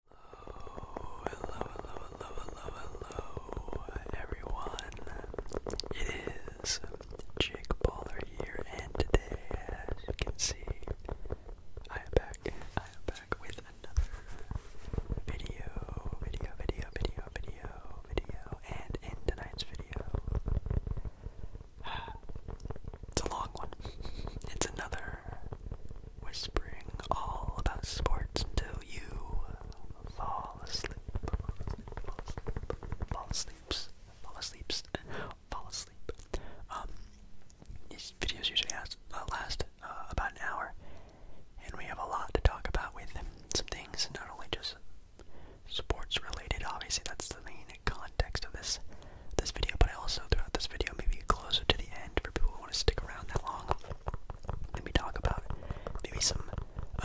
Hello, hello, hello, hello, hello, everyone. It is um, Jake Baller here, and today, as you can see, I am back. I am back with another video, video, video, video, video, video, and in tonight's video, it's a long one. It's another whispering all about sports until you fall asleep. Fall asleep. Fall asleep. Fall asleep. Fall asleep. Um, these videos usually last, uh, uh, about an hour, and we have a lot to talk about with some things, not only just sports related. Obviously, that's the main context of this this video. But I also throughout this video, maybe closer to the end for people want to stick around that long, let talk about maybe some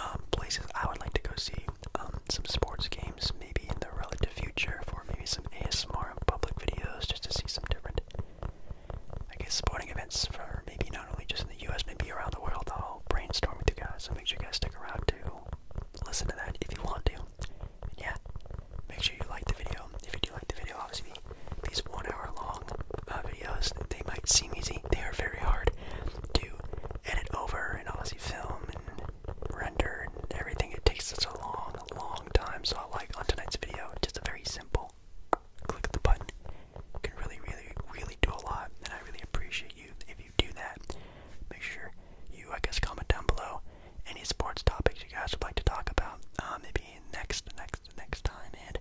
um, places I would like to go see, um, some sports games maybe in the relative future for maybe some ASMR public videos just to see some different, I guess, sporting events for maybe not only just in the U.S., maybe around the world. I'll brainstorm with you guys, so make sure you guys stick around to listen to that if you want to. yeah, make sure you like the video. If you do like the video, obviously these one hour long uh, videos, they might seem easy. They are very hard to edit over and obviously film and render and everything. It takes such a long, long time. So I like on tonight's video, just a very simple click of the button. You can really, really, really do a lot. And I really appreciate you if you do that. Make sure you, I guess, comment down below any sports topics you guys would like to talk about. Maybe. Um, next, next, next time, and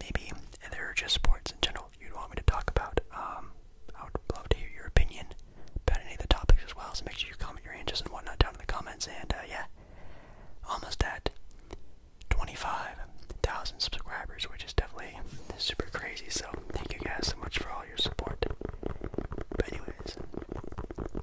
maybe there are just sports in general you'd want me to talk about. Um, I would love to hear your opinion about any of the topics as well, so make sure you comment your answers and whatnot down in the comments, and uh, yeah, almost at 25,000 subscribers, which is definitely super crazy, so thank you guys so much for all your support. But anyways,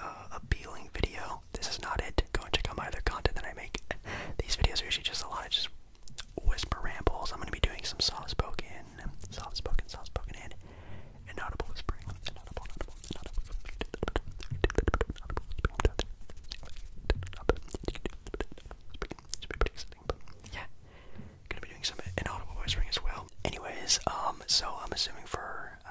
uh, appealing video, this is not it. Go and check out my other content that I make. These videos are usually just a lot of just whisper rambles. I'm going to be doing some soft spoken, soft spoken, soft spoken, and audible whispering. Inaudible, inaudible, inaudible. Yeah, gonna be doing some inaudible whispering as well. Anyways, um, so I'm assuming for uh,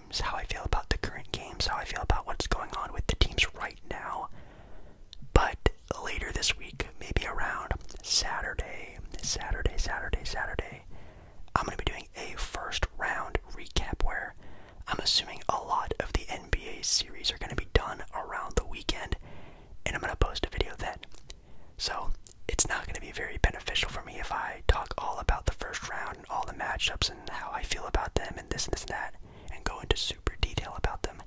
how I feel about the current games, how I feel about what's going on with the teams right now. But later this week, maybe around Saturday, Saturday, Saturday, Saturday, I'm going to be doing a first round recap where I'm assuming a lot of the NBA series are going to be done around the weekend, and I'm going to post a video then. So it's not going to be very beneficial for me if I talk all about the first round all the matchups and how I feel about them and this and this and that, and go into super detail about them.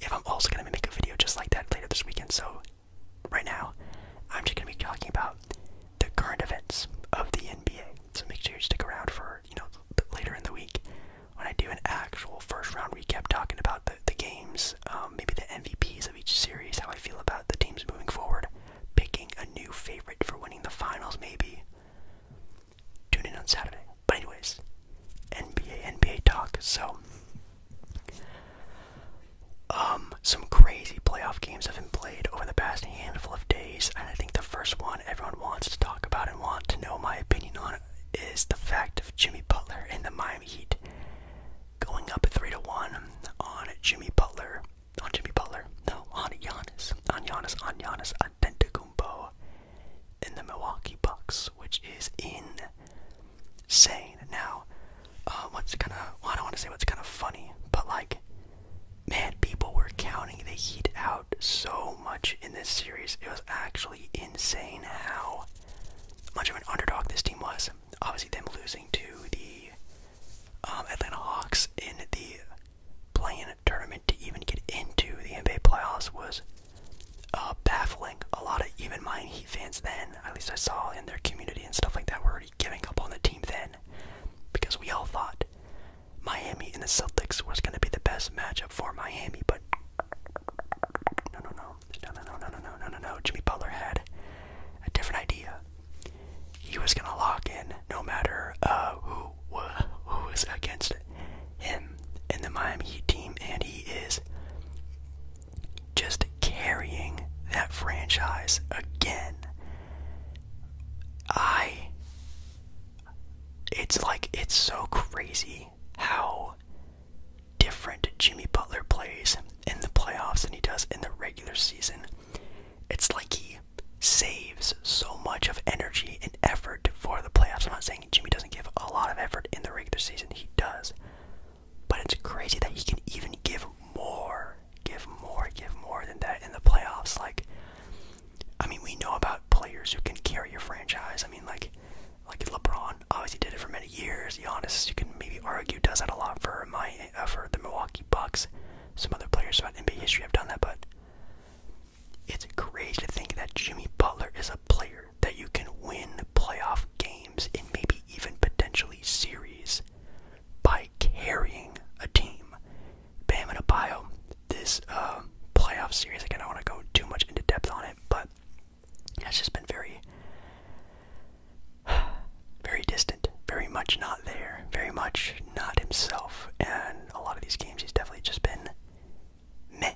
If I'm also gonna make a video just like that later this weekend, so right now I'm just gonna be talking about the current events of the NBA. So make sure you stick around for you know later in the week when I do an actual first round recap talking about the the games, um, maybe the MVPs of each series, how I feel about the teams moving forward, picking a new favorite for winning the finals, maybe. Tune in on Saturday. But anyways, NBA, NBA talk. So, um, some crazy playoff games have been played over the past handful of days, and I think the first one everyone wants to talk about and want to know my opinion on is the fact of Jimmy Butler and the Miami Heat going up three to one on Jimmy Butler, on Jimmy Butler, no, on Giannis, on Giannis, on Giannis, on in the Milwaukee Bucks, which is insane. Now, uh, what's kind of I don't want to say what's kind of funny, but like, man, people were counting the Heat out so much in this series. It was actually insane how much of an underdog this team was. Obviously, them losing to the um, Atlanta Hawks in the play in a tournament to even get into the NBA playoffs was uh, baffling. A lot of even my Heat fans then, at least I saw in their community and stuff like that, were already giving up on the team then because we all thought Miami and the Celtics was going to be the best matchup for Miami, but no, no, no, no, no, no, no, no, no, no, no. Jimmy Butler had a different idea. He was going to lock in no matter uh, who, who is against him in the Miami team, and he is just carrying that franchise again. I. It's like, it's so crazy how different Jimmy Butler plays in the playoffs than he does in the regular season. It's like he saves so much of energy and effort for the playoffs. I'm not saying Jimmy doesn't give a lot of effort in the regular season, he does. But it's crazy that he can even give more, give more, give more than that in the playoffs. Like, I mean, we know about players who can carry your franchise. I mean, like, like LeBron obviously did it for many years. Giannis, you can maybe argue, does that a lot for my uh, for the Milwaukee Bucks. Some other players throughout NBA history have done that, but it's crazy to think that Jimmy Butler is a player that you can win playoff games and maybe even potentially series by carrying a team. Bam and Abayo, this uh, playoff series, again, I don't want to go too much into depth on it, but it's just been very, very distant, very much not there, very much not himself. And a lot of these games, he's definitely just been meh.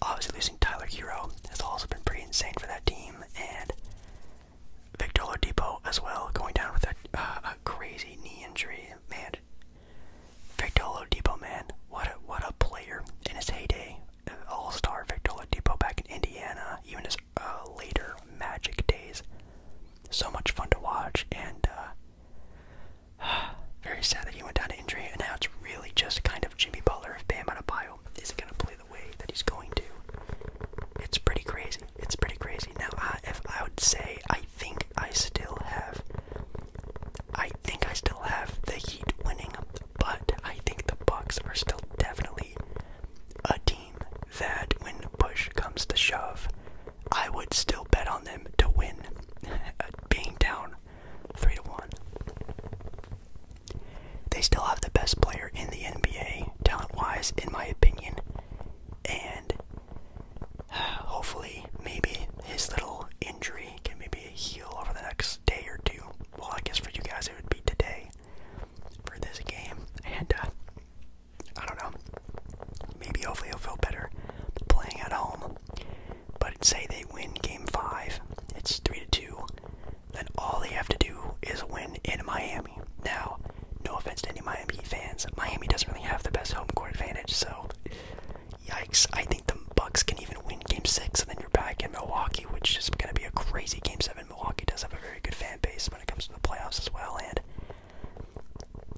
Obviously, losing Tyler Hero has also been pretty insane for that team, and Victor Oladipo as well, going down with a, uh, a crazy knee injury. Man, Victor Oladipo, man, what a what a player in his heyday. Uh, all-star Victor Oladipo back in Indiana, even his uh, later Magic days. So much fun to watch, and uh, Very sad that he went down to injury, and now it's really just kind of Jimmy Butler of Bam on a bio isn't going to play the way that he's going to. It's pretty crazy. It's pretty crazy. Now, if I would say, I think I still have, I think I still have the Heat winning, but I think the Bucks are still definitely a team that, when push comes to shove, I would still bet on them to win, uh, being down 3 to 1. They still have the best player in the NBA, talent wise, in my opinion. And hopefully, maybe his little injury can maybe heal over the next day or two. Well, I guess for you guys, it would be today for this game. And uh, I don't know. Maybe hopefully he'll feel better playing at home. But say they win game five, it's three to two. Then all they have to do is win in Miami. Now, no offense to any Miami fans, Miami doesn't really have the best home court advantage, so yikes! I think the Bucks can even win game six, and then you're back in Milwaukee, which is going to be a crazy game seven. Milwaukee does have a very good fan base when it comes to the playoffs as well, and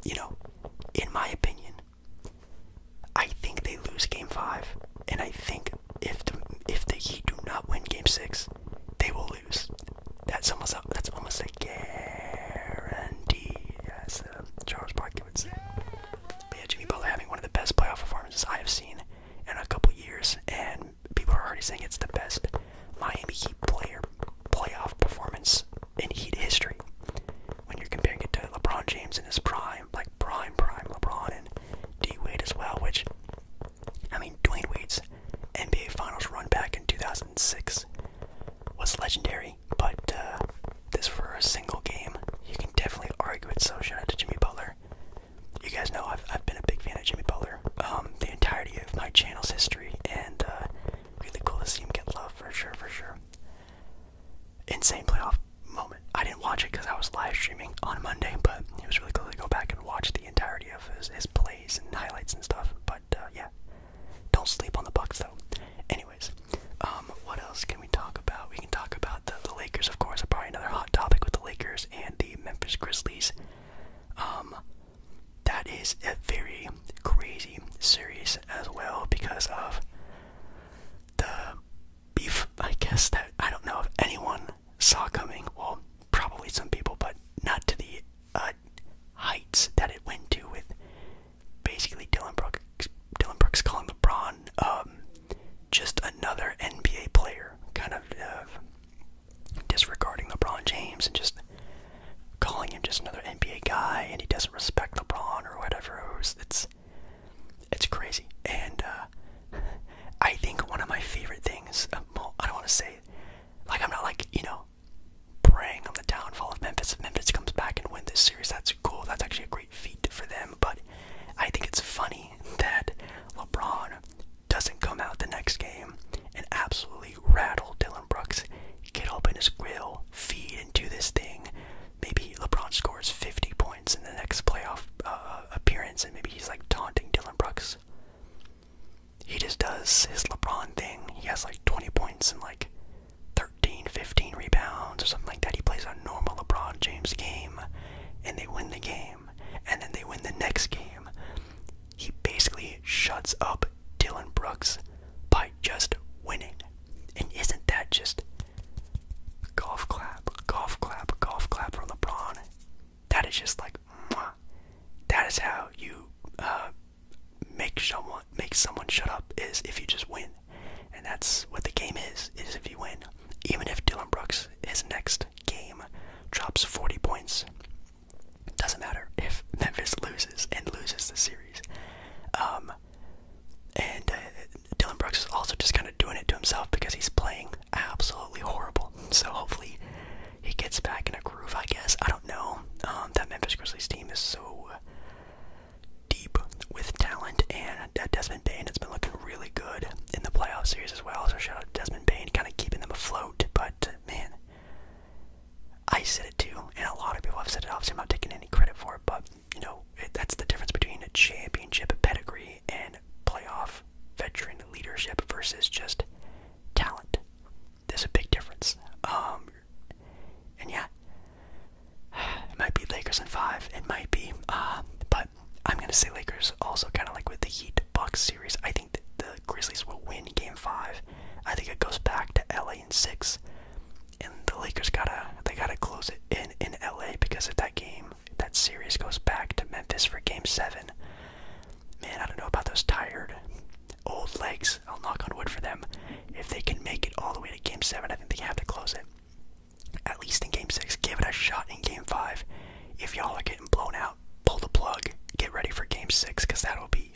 you know, in my opinion, I think they lose game five, and I think if the, if the Heat do not win game six, they will lose. That's almost a, that's almost a guarantee, as uh, Charles Barkley would say. But yeah, Jimmy Butler having one of the best playoff performances I have seen in a couple years, and people are already saying it's the best Miami Heat player playoff performance in Heat history. When you're comparing it to LeBron James in his prime, like prime, prime LeBron and D Wade as well, which, I mean, Dwayne Wade's NBA Finals run back in 2006 was legendary, but uh, this for a single game, you can definitely argue it. So, shout out to Jimmy Butler. You guys know I've, I've been a big fan of Jimmy Butler um, the entirety of my channel's history, and uh, really cool to see him get love for sure, for sure insane playoff moment. I didn't watch it because I was live streaming on Monday, but it was really cool to go back and watch the entirety of his, his plays and highlights and stuff. But uh, yeah, don't sleep on the Bucks though. Anyways, um, what else can we talk about? We can talk about the, the Lakers, of course. Probably another hot topic with the Lakers and the Memphis Grizzlies. Um, that is a very crazy series as well because of the beef, I guess, that I don't know if anyone saw coming. Well, probably some people, but not to the uh, heights that it went to with basically Dylan Brooks, Dylan Brooks calling LeBron um, just another NBA player, kind of uh, disregarding LeBron James and just calling him just another NBA guy and he doesn't respect LeBron or whatever. it's it's crazy. And uh, I think one of my favorite things, uh, well, I don't want to say, like I'm not like, you know, praying on the downfall of Memphis. If Memphis comes back and win this series, that's cool. That's actually a great feat for them. But I think it's funny that LeBron doesn't come out the next game and absolutely rattle Dylan Dylan Brooks get up in his grill, feed into this thing. Maybe LeBron scores 50 points in the next playoff uh, appearance, and maybe he's like taunting Dylan Brooks. He just does his LeBron thing. He has like 20 points and like 13, 15 rebounds or something like that. He plays a normal LeBron James game, and they win the game, and then they win the next game. He basically shuts up Dylan Brooks by just winning. And isn't that just golf clap, golf clap, golf clap for LeBron? That is just like, that is how you uh, make someone make someone shut up. Is if you just win, and that's what the game is. Is if you win, even if Dylan Brooks his next game drops 40 points, doesn't matter if Memphis loses and loses the series. Um, and uh, Dylan Brooks is also just kind of doing it to himself because he's playing absolutely horrible. So hopefully he gets back in a groove, I guess. I don't know. Um, that Memphis Grizzlies team is so deep with talent, and that Desmond Bain has been looking really good in the playoff series as well. So shout out to Desmond Bain, kind of keeping them afloat. But uh, man, I said it too, and a lot of people have said it. Obviously, I'm not taking any credit for it, but you know, that's the difference between a championship pedigree and playoff veteran leadership versus just talent. There's a big difference. Um, and yeah, it might be Lakers in five. It might be, uh, but I'm gonna say Lakers. Also, kind of like with the Heat Bucks series, I think the Grizzlies will win Game Five. I think it goes back to LA in six and the Lakers gotta they gotta close it in in LA because if that game that series goes back to Memphis for Game Seven, man, I don't know about those tired old legs. I'll knock on wood for them. If they can make it all the way to Game Seven, I think they have to close it. At least in Game Six, give it a shot in Game Five. If y'all are getting blown out, pull the plug. Get ready for Game Six because that'll be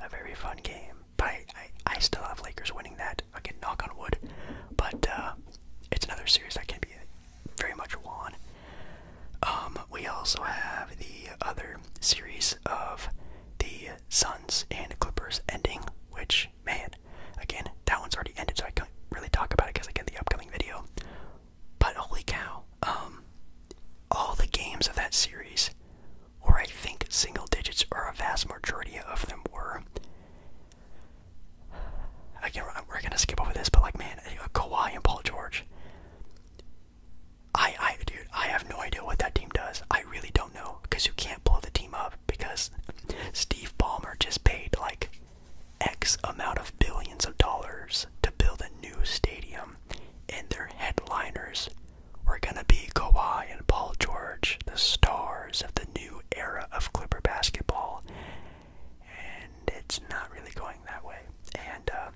a very fun game but I, I, still have Lakers winning that. Again, knock on wood. But uh, it's another series that can be very much won. Um, we also have the other series of the Suns and Clippers ending, which, man, again, that one's already ended, so I can't really talk about it because, again, the upcoming video. But holy cow, um, all the games of that series or I think single digits, or a vast majority of them were. Again, we're gonna skip over this, but like, man, Kawhi and Paul George. I, I, dude, I have no idea what that team does. I really don't know because you can't blow the team up because Steve Ballmer just paid like X amount of billions of dollars to build a new stadium, and their headliners we're going to be Kawhi and Paul George, the stars of the new era of Clipper basketball. And it's not really going that way. And, uh,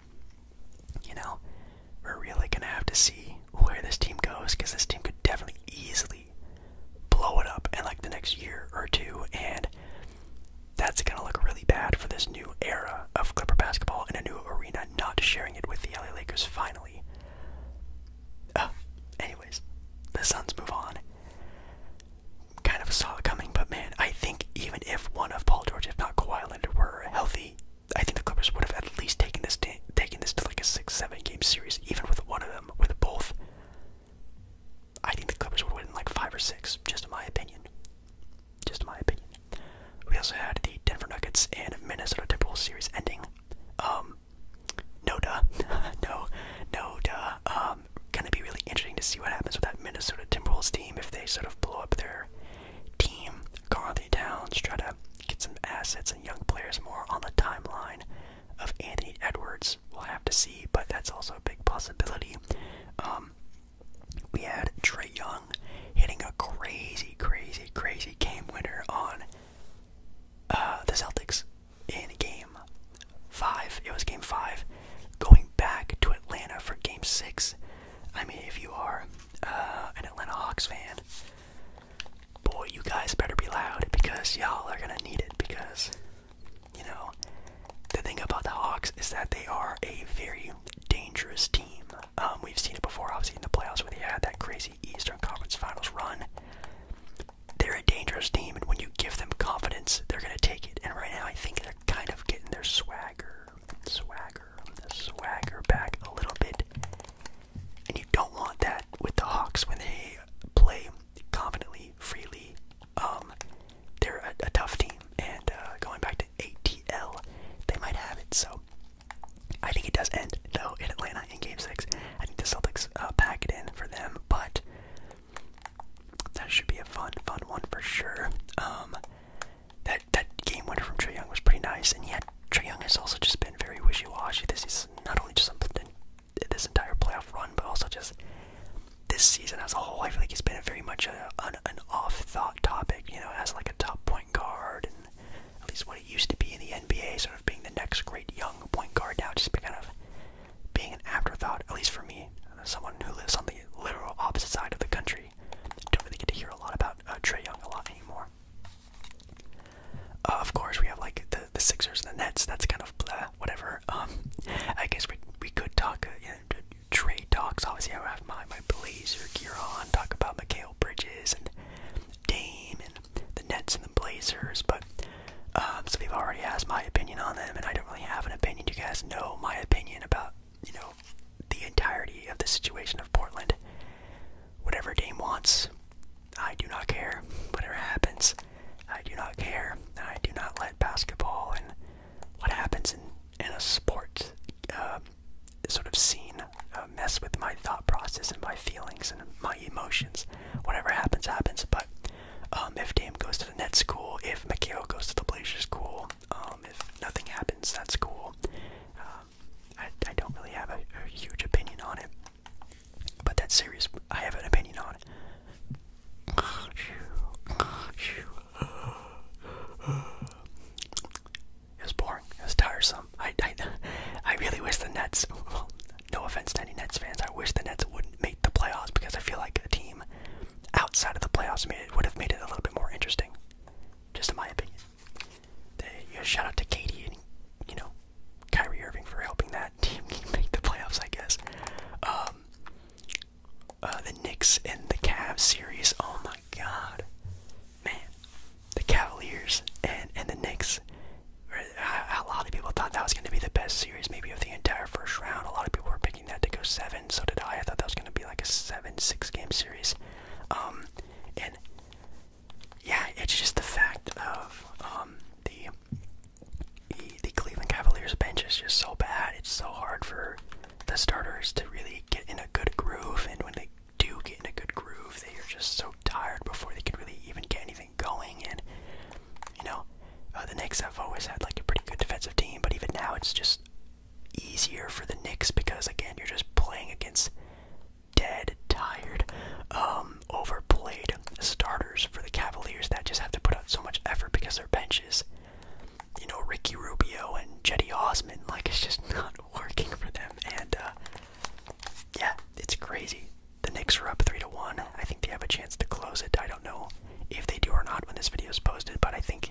you know, we're really going to have to see where this team goes because this team could definitely easily blow it up in like the next year or two. And that's going to look really bad for this new era of Clipper basketball in a new arena, not sharing it with the LA Lakers finally. Oh, anyways, the Suns move on. Kind of saw it coming, but man, I think even if one of Paul George, if not Kawhi Leonard, were healthy, I think the Clippers would have at least taken this taken this to like a six, seven game series, even with one of them, with both. I think the Clippers would win in like five or six, just in my opinion. Just in my opinion. We also had the Denver Nuggets and Minnesota Timberwolves series ending. Um, um, Noda, no, Noda. Um, gonna be really interesting to see what happens with that Minnesota Timberwolves team if they sort of blow up their team, Carthy Towns, try to get some assets and young players more on the timeline of Anthony Edwards. We'll have to see, but that's also a big possibility. Um, we had Trey Young hitting a crazy, crazy, crazy game winner on uh, the Celtics in game five. It was game five, going back to Atlanta for game six. I mean, if you are uh, an Atlanta Hawks fan, boy, you guys better be loud because y'all are gonna need it because, you know, the thing about the Hawks is that they are a very dangerous team. Um, we've seen it before, obviously, in the playoffs when they had that crazy Eastern Conference Finals run. They're a dangerous team, and when you give them confidence, they're going to take it. And right now, I think they're kind of getting their swagger, swagger, swagger back a little bit. And you don't want that with the Hawks when they play confidently, freely. Um, they're a, tough team, and uh, going back to ATL, they might have it. So I think it does end though in Atlanta in Game Six. I think the Celtics uh, pack it in for them, but that should be a fun, fun one for sure. Um, that that game winner from Trey Young was pretty nice, and yet Trey Young has also just been very wishy-washy. This is not only just this entire playoff run, but also just this season as a whole. I feel like he has been very much an, off-thought topic, you know, as like a top point guard at least what it used to be in the NBA, sort of being the next great young point guard now, just kind of being an afterthought, at least for me, uh, someone who lives on the literal opposite side of the country. Don't really get to hear a lot about uh, Trey Young a lot anymore. Uh, of course, we have like the the Sixers and the Nets. That's kind of whatever. Um, I guess we we could talk uh, you know, trade talks. Obviously, I would have my my Blazer gear on. Talk about Michael Bridges and Dame and the Nets and. Blazers, but um, some people already asked my opinion on them, and I don't really have an opinion. You guys know my opinion about you know the entirety of the situation of Portland. Whatever Dame wants, I do not care. Whatever happens, I do not care. I do not let basketball and what happens in in a sport uh, sort of scene uh, mess with my thought process and my feelings and my emotions. Whatever happens, happens. But um, if Dame goes to the net school, If Mikhail goes to the Blazers, school, um, if nothing happens, that's cool. Uh, I, don't really have a, huge opinion on it. But that series, I have an opinion on it. It boring. It's tiresome. I, I, really wish the Nets. no offense to any Nets fans, I wish the Nets wouldn't make the playoffs because I feel like a team outside of the playoffs made it would have made it a little bit more interesting. Just in my opinion. shout out to Katie and you know Kyrie Irving for helping that team make the playoffs. I guess. Um, uh, the Knicks and the Cavs series. Oh my God, man the Cavaliers and and the Knicks. A lot of people thought that was going to be the best series, maybe of the entire first round. A lot of people were picking that to go seven. So did I. I thought that was going to be like a seven, six game series. Um, and yeah, it's just the fact of um, the, the the Cleveland Cavaliers bench is just so bad. It's so hard for the starters to really get in a good groove, and when they do get in a good groove, they are just so tired before they can really even get anything something going. And you know, uh, the Knicks have always had like a pretty good defensive team, but even now it's just easier for the Knicks because again, you're just playing against dead, tired, um, overplayed starters for the Cavaliers that just have to put out so much effort because their benches, you know, Ricky Rubio and Jetty Osman, like it's just not working for them. And uh, yeah, it's crazy. The Knicks are up three to one. I think they have a chance to close it. I don't know if they do or not when this video is posted, but I think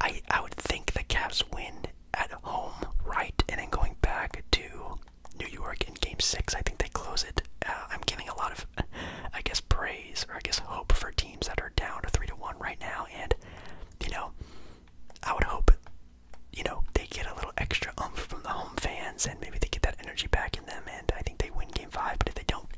I I would think the Cavs win at home, right? And then going back to New York in Game Six, I think they close it. Uh, I'm giving a lot of, I guess, praise or I guess hope for teams that are down to three to one right now, and you know, I would hope you know, they get a little extra oomph from the home fans, and maybe they get that energy back in them, and I think they win Game Five. But if they don't,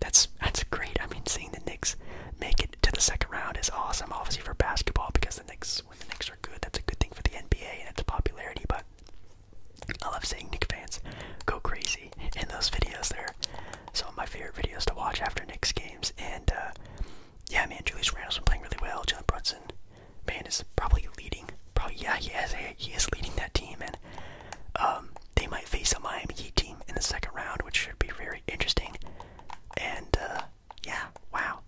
that's that's great. I mean, seeing the Knicks make it to the second round is awesome, obviously for basketball, because the Knicks, when the Knicks are good, that's a good thing for the NBA and its popularity. But I love seeing Knicks fans go crazy in those videos. They're some of my favorite videos to watch after Knicks games, and uh, yeah, man, Julius Randle's been playing really well. Jalen Brunson Band is probably leading. Probably yeah, he is. He is leading that team, and um, they might face a Miami Heat team in the second round, which should be very interesting. And uh, yeah, wow,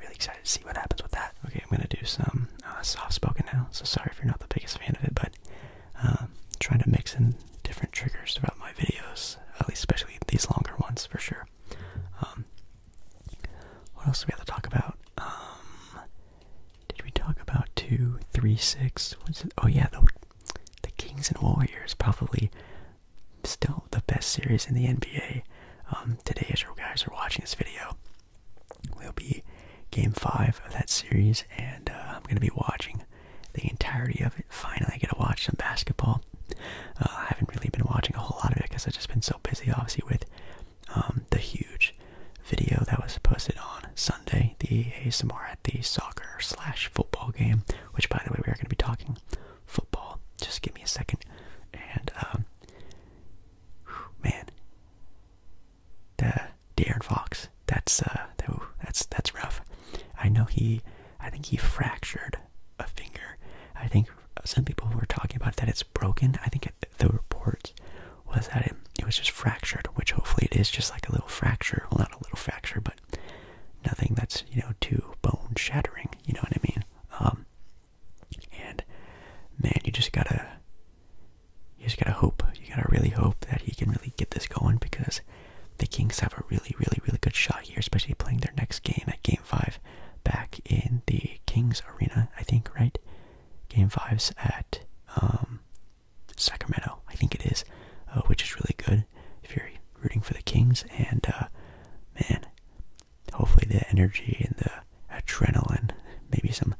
really excited to see what happens with that. Okay, I'm gonna do some uh, soft-spoken now. So sorry if you're not the biggest fan of it, but um, trying to mix in different triggers throughout my videos, at least especially these longer ones for sure. Um, what else do we have to talk about? Um, did we talk about two, three, six? oh yeah, the Kings and Warriors probably still the best series in the NBA. Um, today, as you guys are watching this video, will be Game Five of that series, and uh, I'm gonna be watching the entirety of it. Finally, I get to watch some basketball. Uh, I haven't really been watching a whole lot of it because I've just been so busy, obviously, with um, the huge video that was posted on Sunday, the ASMR at the soccer slash football game, which by the way, we are going to be talking football. Just give me a second. And, um, man, the De'Aaron Fox, that's, uh, that's, that's rough. I know he, I think he fractured a finger. I think some people were talking about that it's broken. I think the report was that it, it was just fractured, which hopefully it is just like a little fracture. Well, not a little fracture, but nothing that's, you know, too bone shattering. You know what I mean? Um, and man, you just gotta, you just gotta hope. You gotta really hope that he can really get this going because the Kings have a really, really, really good shot here, especially playing their next game at game. 5 back in the Kings Arena, I think, right? Game 5's at um, Sacramento, I think it is, uh, which is really good if you're rooting for the Kings. And uh, man, hopefully the energy and the adrenaline, maybe some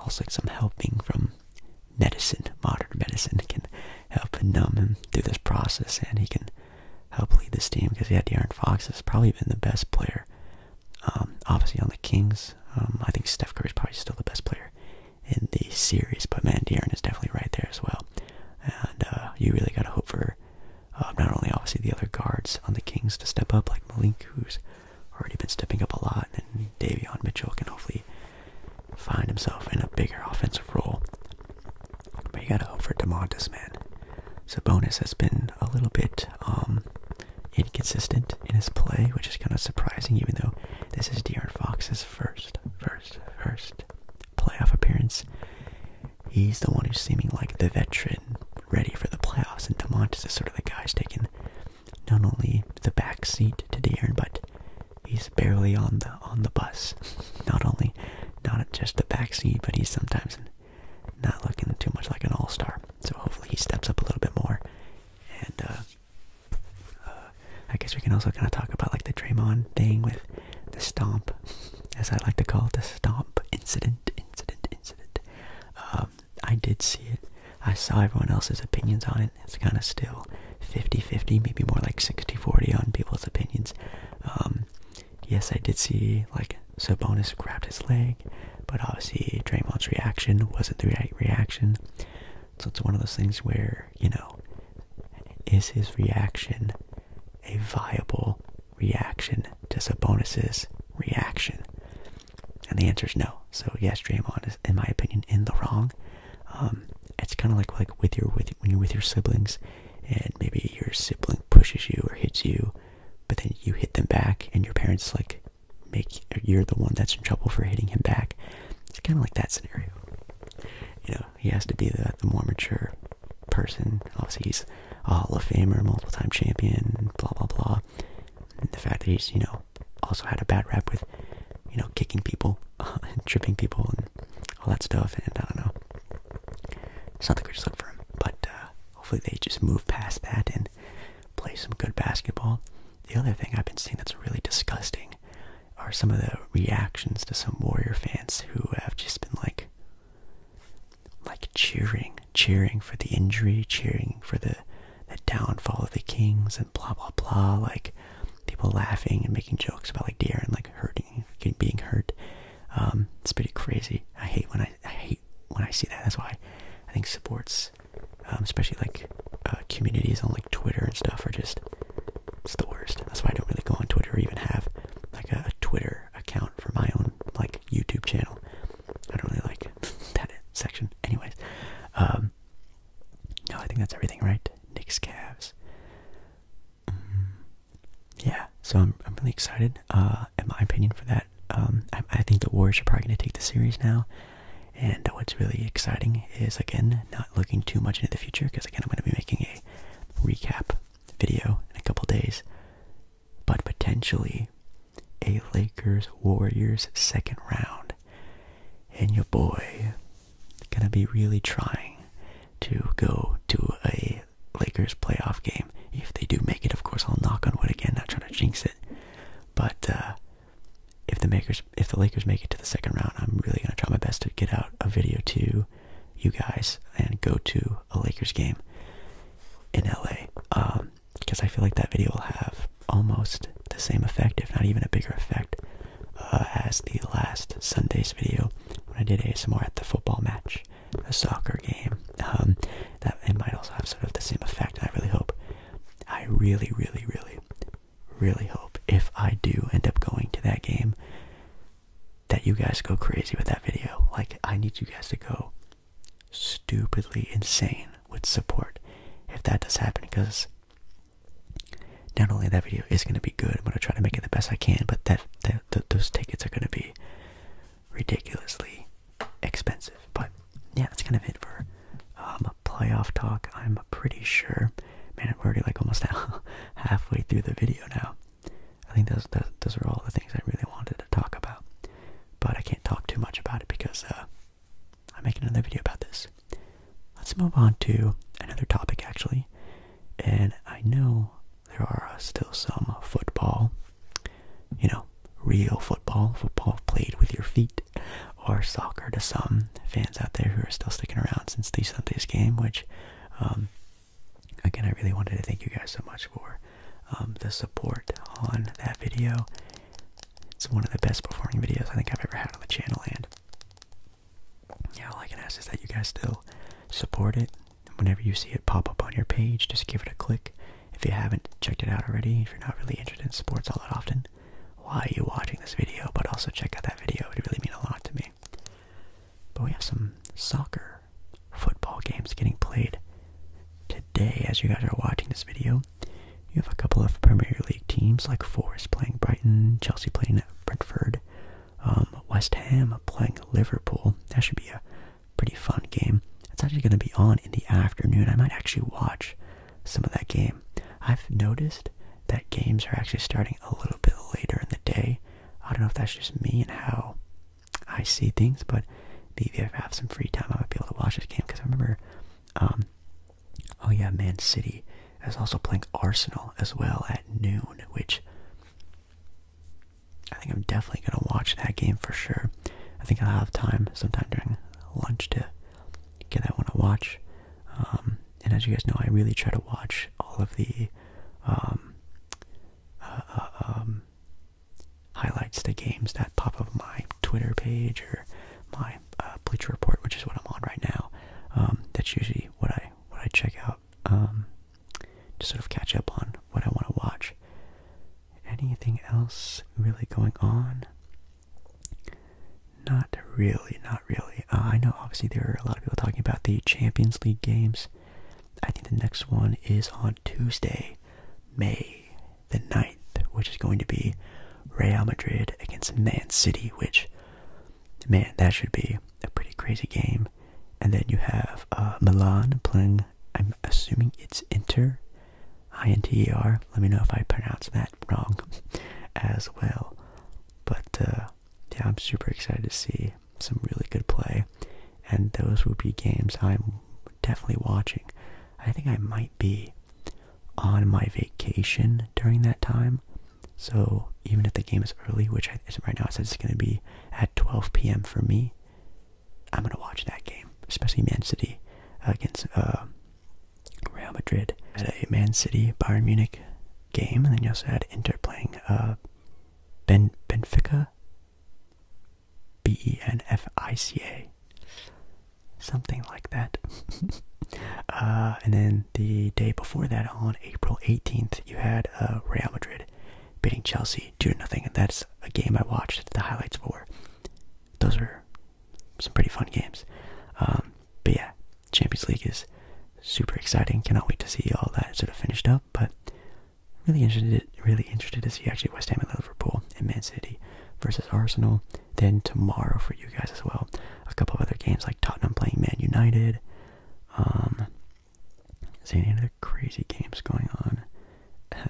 also some helping from medicine, modern medicine, can help numb him through this process, and he can help lead this team because he had De'Aaron Fox has probably been the best player um, obviously on the Kings, um, I think Steph Curry is probably still the best player in the series, but man, De'Aaron is definitely right there as well. And uh, you really gotta hope for uh, not only obviously the other guards on the Kings to step up, like Malik, who's already been stepping up a lot, and Davion Mitchell can hopefully find himself in a bigger offensive role. But you gotta hope for DeMontis, man. So bonus has been a little bit um, inconsistent in his play, which is kind of surprising, even though this is De'Aaron Fox's first, first, first playoff appearance. He's the one who's seeming like the veteran, ready for the playoffs, and DeMontis is sort of the guy who's taking not only the back seat to De'Aaron, but he's barely on the on the bus. Not only not just the back seat, but he's sometimes not looking too much like an all star. So hopefully he steps up a little bit more. And uh, uh, I guess we can also kind of talk about like the Draymond thing with the stomp, as I like to call it, the stomp incident, incident, incident. Um, I did see it. I saw everyone else's opinions on it. It's kind of still 50 50, maybe more like 60 40 on people's opinions. Um, Yes, I did see like Sabonis grabbed his leg, but obviously Draymond's reaction wasn't the right reaction. So it's one of those things where, you know, is his reaction a viable reaction to Sabonis's reaction? And the answer is no. So yes, Draymond is, in my opinion, in the wrong. Um, it's kind of like like with your with when you're with your siblings, and maybe your sibling pushes you or hits you, but then you hit them back and your parents like make you're the one that's in trouble for hitting him back. It's kind of like that scenario. You know, he has to be the, more mature person. Obviously, he's a Hall of Famer, multiple time champion, blah, blah, blah. And the fact that he's, you know, also had a bad rap with, you know, kicking people and tripping people and all that stuff. And I don't know. It's not the greatest look for him, but uh, hopefully they just move past that and play some good basketball. The other thing I've been seeing that's really disgusting are some of the reactions to some Warrior fans who have just been like like cheering, cheering for the injury, cheering for the the downfall of the Kings and blah blah blah, like people laughing and making jokes about like De'Aaron like hurting, being hurt. Um, it's pretty crazy. I hate when I hate when I see that. That's why I think sports, um, especially like uh, communities on like Twitter and stuff, are just it's the worst. That's why I don't really go on Twitter or even have like a, Twitter account for my own like YouTube channel. I don't really like that section. Anyways, um, no, I think that's everything, right? Knicks, Cavs. Mm, yeah, so I'm I'm really excited. Uh, in my opinion, for that. Um, I think the Warriors are probably going to take the series now. And what's really exciting is, again, not looking too much into the future because, again, I'm going to be making a recap video in a couple days. But potentially a Lakers Warriors second round. And your boy going to be really trying to go to a Lakers playoff game. If they do make it, of course, I'll knock on wood again, not trying to jinx it. But uh, if the Lakers, if the Lakers make it to the second round, I'm really gonna try my best to get out a video to you guys and go to a Lakers game in LA. Um, because I feel like that video will have almost the same effect, if not even a bigger effect, uh, as the last Sunday's video when I did ASMR at the football match a soccer game. Um, that it might also have sort of the same effect. I really hope. I really, really, really, really hope if I do end up going to that game, that you guys go crazy with that video. Like I need you guys to go stupidly insane with support if that does happen, because not only that video is going to be good, I'm going to try to make it the best I can, but that, those tickets are going to be ridiculously expensive. But yeah, that's kind of it for um, playoff talk. I'm pretty sure, man, we're already like almost halfway through the video now. I think those, those, are all the things I really wanted to talk about. But I can't talk too much about it because uh, I'm making another video about this. Let's move on to another topic, actually. And I know there are still some football you know, real football, football played with your feet, or soccer to some fans out there who are still sticking around since the Sunday's game, which, um, again, I really wanted to thank you guys so much for um, the support on that video. It's one of the best performing videos I think I've ever had on the channel, and yeah, all I can ask is that you guys still support it, whenever you see it pop up on your page, just give it a click. If you haven't checked it out already, if you're not really interested in sports all that often, why are you watching this video? But also check out that video, it would really mean a lot to me. But we have some soccer football games getting played today as you guys are watching this video. You have a couple of Premier League teams like Forest playing Brighton, Chelsea playing Brentford, um, West Ham playing Liverpool. That should be a pretty fun game. It's actually going to be on in the afternoon. I might actually watch some of that game. I've noticed that games are actually starting a little bit later in the day. I don't know if that's just me and how I see things, but maybe if I have some free time, I might be able to watch this game because I remember, um, oh yeah, Man City is also playing Arsenal as well at noon, which I think I'm definitely gonna watch that game for sure. I think I'll have time sometime during lunch to get that one to watch. Um, and as you guys know, I really try to watch all of the um, uh, uh, um, highlights The games that pop up my Twitter page or my uh, Bleacher Report, which is what I'm on right now. that's usually what I what I check out to sort of catch up on what I want to watch anything else really going on? Not really, not really. Uh, I know obviously there are a lot of people talking about the Champions League games. I think the next one is on Tuesday, May the 9th, which is going to be Real Madrid against Man City, which, man, that should be a pretty crazy game. And then you have uh, Milan playing, I assuming it's Inter, I-N-T-E-R. Let me know if I pronounce that wrong as well. But uh, yeah, I'm super excited to see some really good play, and those will be games I'm definitely watching. I think I might be on my vacation during that time, so even if the game is early, which right now it says it's going to be at 12 p.m. for me, I'm gonna watch that game, especially Man City uh, against uh, Real Madrid. Had a Man City Bayern Munich game, and then you also had Inter playing uh, Ben Benfica, B E N F I C A, something like that. and then the day before that, on April 18th, you had uh, Real Madrid Bidding Chelsea to nothing, and that's a game I watched the highlights for. Those are some pretty fun games. Um, but yeah, Champions League is super exciting. Cannot wait to see all that sort of finished up. But really interested, really interested to see actually West Ham and Liverpool and Man City versus Arsenal. Then tomorrow for you guys as well, a couple of other games like Tottenham playing Man United. Um, is any other crazy games going on?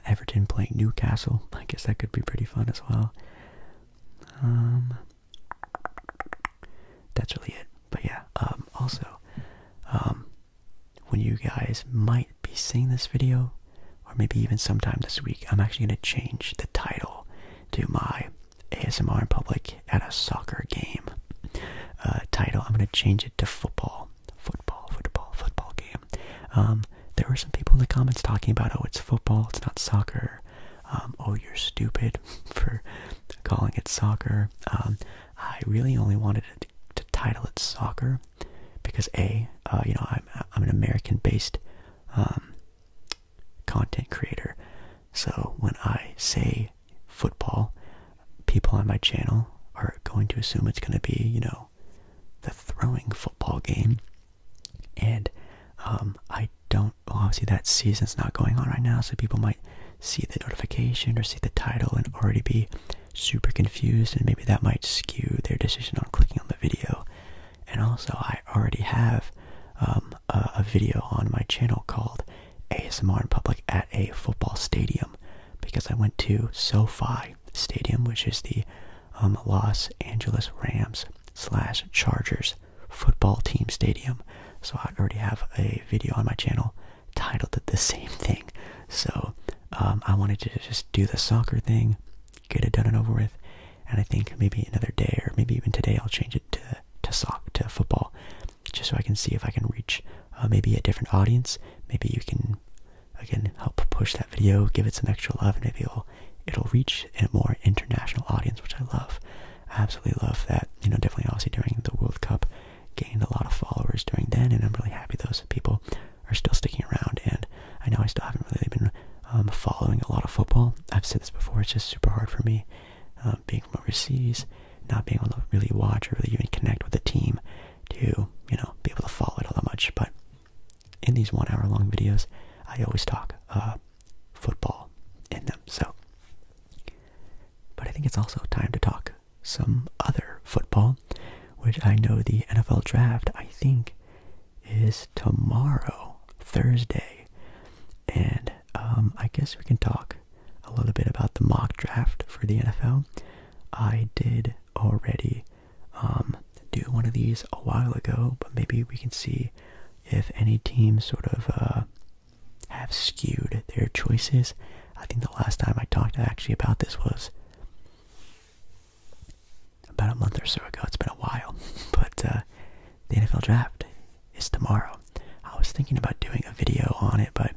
Everton playing Newcastle. I guess that could be pretty fun as well. Um, that's really it. But yeah, um, also, um, when you guys might be seeing this video, or maybe even sometime this week, I'm actually going to change the title to my ASMR in public at a soccer game uh, title. I'm going to change it to football football, football, football game. Um, there were some people in the comments talking about, oh, it's football, it's not soccer. Um, oh, you're stupid for calling it soccer. Um, I really only wanted to, title it soccer because a, uh, you know, I'm I'm an American-based content creator, so when I say football, people on my channel are going to assume it's going to be, you know, the throwing football game. And um, I don't, well, obviously, that season's not going on right now, so people might see the notification or see the title and already be super confused, and maybe that might skew their decision on clicking on the video. And also, I already have um, a video on my channel called ASMR in Public at a Football Stadium because I went to SoFi Stadium, which is the um, Los Angeles Rams slash Chargers football team stadium. So I already have a video on my channel titled the same thing. So um, I wanted to just do the soccer thing, get it done and over with, and I think maybe another day or maybe even today I'll change it to to soc to football, just so I can see if I can reach uh, maybe a different audience. Maybe you can again help push that video, give it some extra love, and maybe it'll it'll reach a more international audience, which I love. I absolutely love that. You know, definitely obviously during the World Cup gained a lot of followers during then, and I'm really happy those people are still sticking around. And I know I still haven't really been um, following a lot of football. I've said this before; it's just super hard for me um, being from overseas, not being able to really watch or really even connect with a team to you know be able to follow it all that much. But in these one hour long videos, I always talk uh, football in them. So, but I think it's also time to talk some other football, which I know the NFL draft, I think, is tomorrow, Thursday. And um, I guess we can talk a little bit about the mock draft for the NFL. I did already um, do one of these a while ago, but maybe we can see if any teams sort of uh, have skewed their choices. I think the last time I talked actually about this was about a month or so ago. It's been a while, but uh, the NFL draft is tomorrow. I was thinking about doing a video on it, but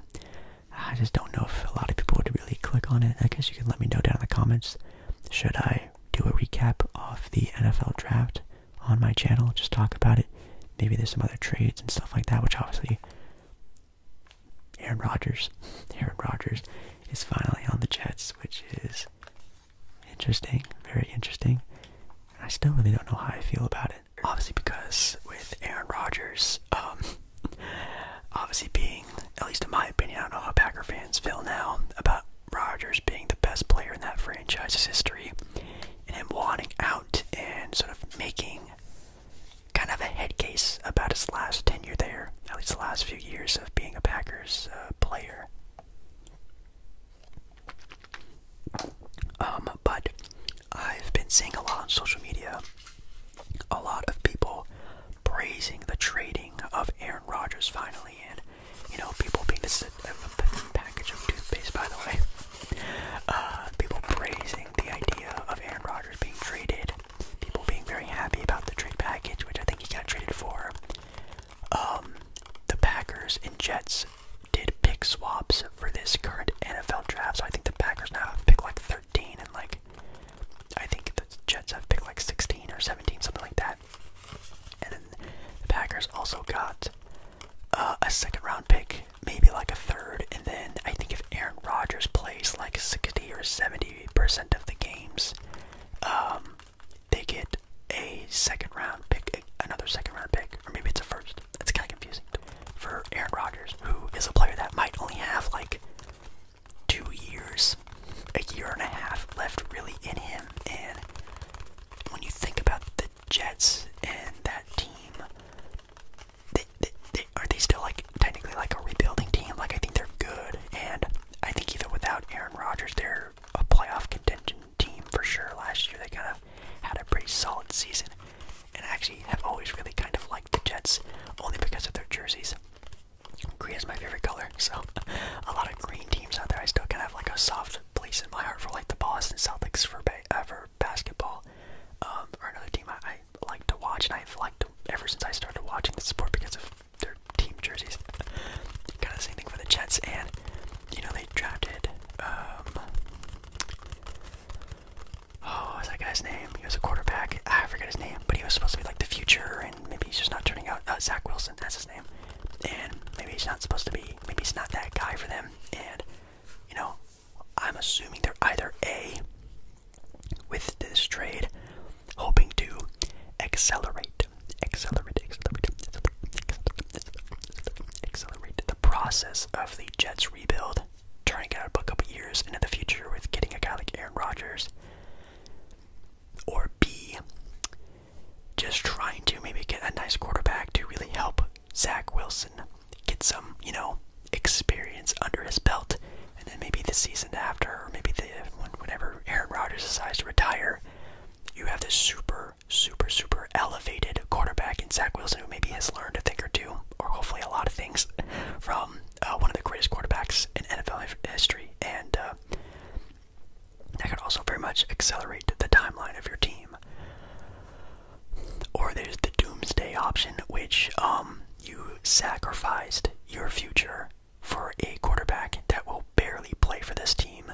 I just don't know if a lot of people would really click on it. I guess you can let me know down in the comments should I do a recap of the NFL draft on my channel? Just talk about it. Maybe there's some other trades and stuff like that, which obviously Aaron Rodgers. Aaron Rodgers is finally on the Jets, which is interesting, very interesting. I still really don't know how I feel about it. Obviously, because with Aaron Rodgers, um, Obviously, being, at least in my opinion, I don't know how Packer fans feel now about Rogers being the best player in that franchise's history and him wanting out and sort of making kind of a head case about his last tenure there, at least the last few years of being a Packers uh, player. Um, but I've been seeing a lot on social media, a lot of people praising the trading of Aaron Rodgers finally, and you know people being this is a, a package of toothpaste, by the way. Uh, people praising the idea of Aaron Rodgers being traded. People being very happy about the trade package, which I think he got traded for. Um, the Packers and Jets did pick swaps for this current NFL draft, so I think the Packers now have pick like 13 and like I think the Jets have picked like 16 or 17, something like that. And the Packers also got uh, a second round pick, maybe like a third. And then I think if Aaron Rodgers plays like 60 or 70% of the games, um, they get a second round pick, another second round pick, or maybe it's a first. That's kind of confusing for Aaron Rodgers, who is a player that might only have like two years, a year and a half left really in him. And when you think about the Jets and that team, are they still like technically like a rebuilding team? Like I think they're good, and I think even without Aaron Rodgers, they're a playoff contention team for sure. Last year they kind of had a pretty solid season, and I actually have always really kind of liked the Jets only because of their jerseys. Green is my favorite color, so a lot of green teams out there. I still kind of have like a soft place in my heart for like the Boston Celtics for, ever basketball, um, or another team I, like to watch, and I've liked ever since I started watching the sport because of their team jerseys. kind of the same thing for the Jets, and you know they drafted. Um, oh, what's that guy's name? He was a quarterback. I forget his name, but he was supposed to be like the future and maybe he's just not turning out. Uh, Zach Wilson, that's his name. And maybe he's not supposed to be. Maybe he's not that guy for them. And you know, I'm assuming they're either a with this trade, hoping to accelerate, accelerate, accelerate, accelerate the process of the Jets rebuild, turning out a couple years into the future with getting a guy like Aaron Rodgers. Or B, just trying to maybe get a nice quarterback to really help Zach Wilson get some, you know, experience under his belt. And then maybe the season after, or maybe the whenever Aaron Rodgers decides to retire, you have this super, super, super elevated quarterback in Zach Wilson who maybe has learned a thing or two, or hopefully a lot of things from um, uh, one of the greatest quarterbacks in NFL history, and uh, that could also very much accelerate the timeline of your team. Or there's the doomsday option, which um, you sacrificed your future for a quarterback that will barely play for this team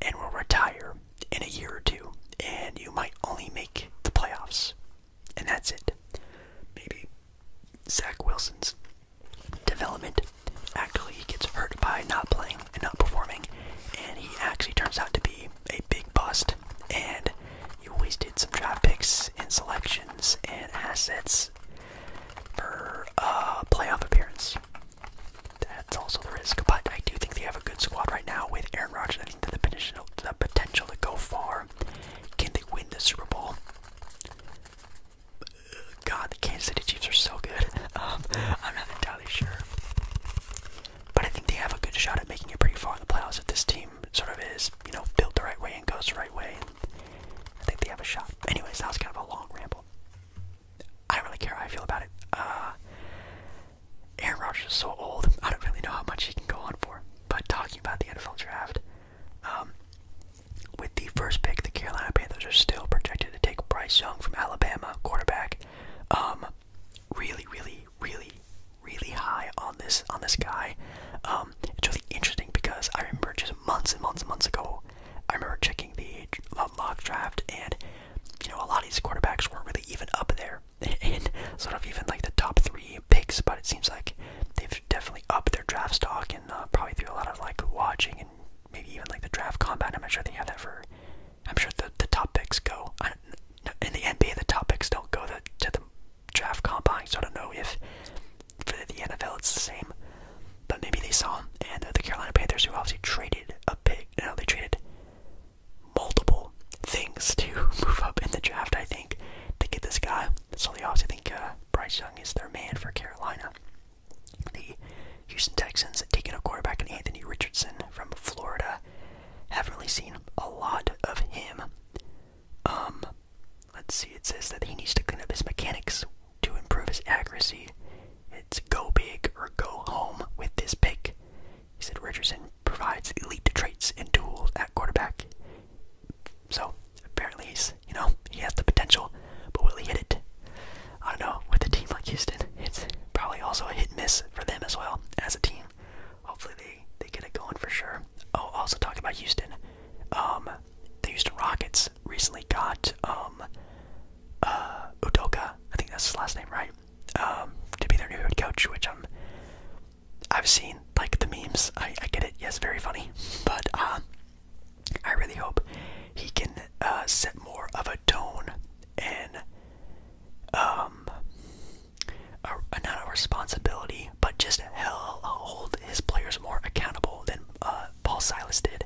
and will retire in a year or two, and you might only make the playoffs, and that's it. Maybe Zach Wilson's development. Actually, gets hurt by not playing and not performing, and he actually turns out to be a big bust. And you wasted some draft picks and selections and assets for a playoff appearance. That's also the risk, but I do think they have a good squad right now with Aaron Rodgers and the potential, the potential to go far. Can they win the Super Bowl? God, the Kansas City Chiefs are so good. Um, I'm not entirely sure. But I think they have a good shot at making it pretty far in the playoffs if this team sort of is, you know, built the right way and goes the right way. I think they have a shot. Anyways, that was kind of a long ramble. I don't really care how I feel about it. Uh, Aaron Rodgers is so old. I don't really know how much he can go on for. But talking about the NFL draft, um, with the first pick, the Carolina Panthers are still projected to take Bryce Young from Alabama, quarterback. Um, really, really, really, really high on this on this guy. Um, it's really interesting because I remember just months and months and months ago, I remember checking the mock draft, and you know a lot of these quarterbacks weren't really even up there in sort of even like the top three picks, but it seems like they've definitely upped their draft stock uh, probably through a lot of like watching and maybe even like the draft combat. I'm sure they have that I'm sure the the top picks go in the NBA. The top picks don't go to, to the draft combine, so I don't know if for the NFL it's the same. But maybe they saw him, and uh, the Carolina Panthers, who obviously traded a pick, you know, they traded multiple things to move up in the draft. I think to get this guy, so they obviously think uh, Bryce Young is their man for Carolina. The Houston Texans have taken a quarterback in Anthony Richardson from Florida. Haven't really seen a lot of him. Um, let's see. It says that he needs to clean up his mechanics to improve his accuracy. It's go big or go home with this pick. He said Richardson provides elite traits and tools at quarterback. So apparently he's, you know, he has the potential, but will he hit it? I don't know. With a team like Houston, it's probably also a hit and miss for them as well as a team. Hopefully they they get it going for sure. Oh, also talking about Houston, um, the Houston Rockets recently got um, uh, Udoka. I think that's his last name, right? Um, to be their new head coach, which I'm. I've seen like the memes. I, I get it. Yes, very funny. But uh, I really hope he can uh, set more of a tone and um, a, not a responsibility, but just hell, hold his players more accountable than uh, Paul Silas did.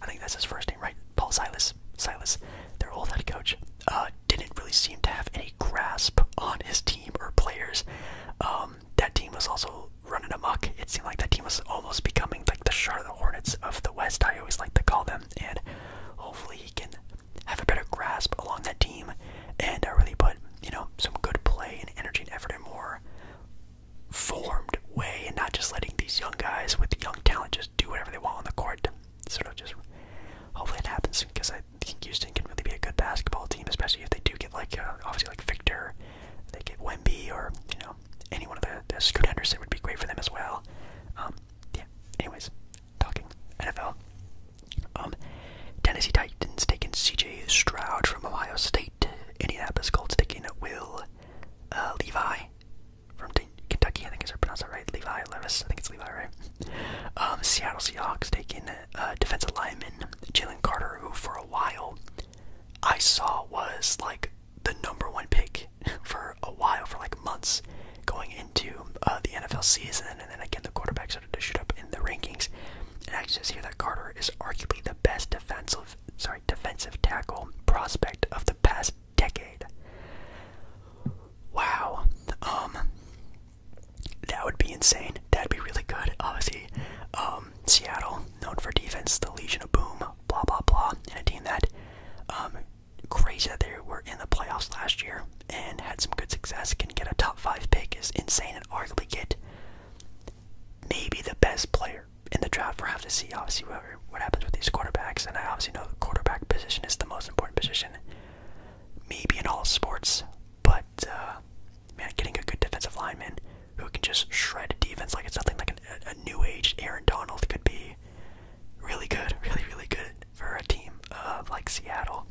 I think that's his first name, right? Paul Silas, Silas, their old head coach, uh, didn't really seem to have any grasp on his team or players. Um, that team was also running amok. It seemed like that team was almost becoming like the Charlotte Hornets of the West. I always like to call them, and hopefully he can have a better grasp along that team and uh, really put you know some good play and energy and effort in more formed way, and not just letting these young guys with young talent just do whatever they want on the court. Sort of just hopefully it happens because I think Houston can really be a good basketball team, especially if they do get like uh, obviously like Victor they get Wimby, or you know any one of the, the Scoot Henderson would be great for them as well. Um, yeah. Anyways, talking NFL. Um, Tennessee Titans taking C.J. Stroud from Ohio State. Indianapolis Colts taking Will uh, Levi from Kentucky. I think is pronounced that right. Levi Levis. I think it's Levi, right? Um, Seattle Seahawks taking uh, defensive lineman Jalen Carter, who for a while I saw was like the number one pick for a while, for like months, going into uh, the NFL season, and then again the quarterback started to shoot up in the rankings. And I just hear that Carter is arguably the best defensive, sorry, defensive tackle prospect of the past decade. Wow, um, that would be insane. That'd be really good. Obviously, um, Seattle known for defense, the Legion of Boom, blah blah blah, and a team that um, crazy that they were in the playoffs last year and had some good success, can get a top five pick is insane and arguably get maybe the best player in the draft. We'll have to see obviously what, what happens with these quarterbacks, and I obviously know the quarterback position is the most important position, maybe in all sports, but uh, man, getting a good defensive lineman who can just shred defense like it's nothing like a new age Aaron Donald could be really good, really, really good for a team like Seattle.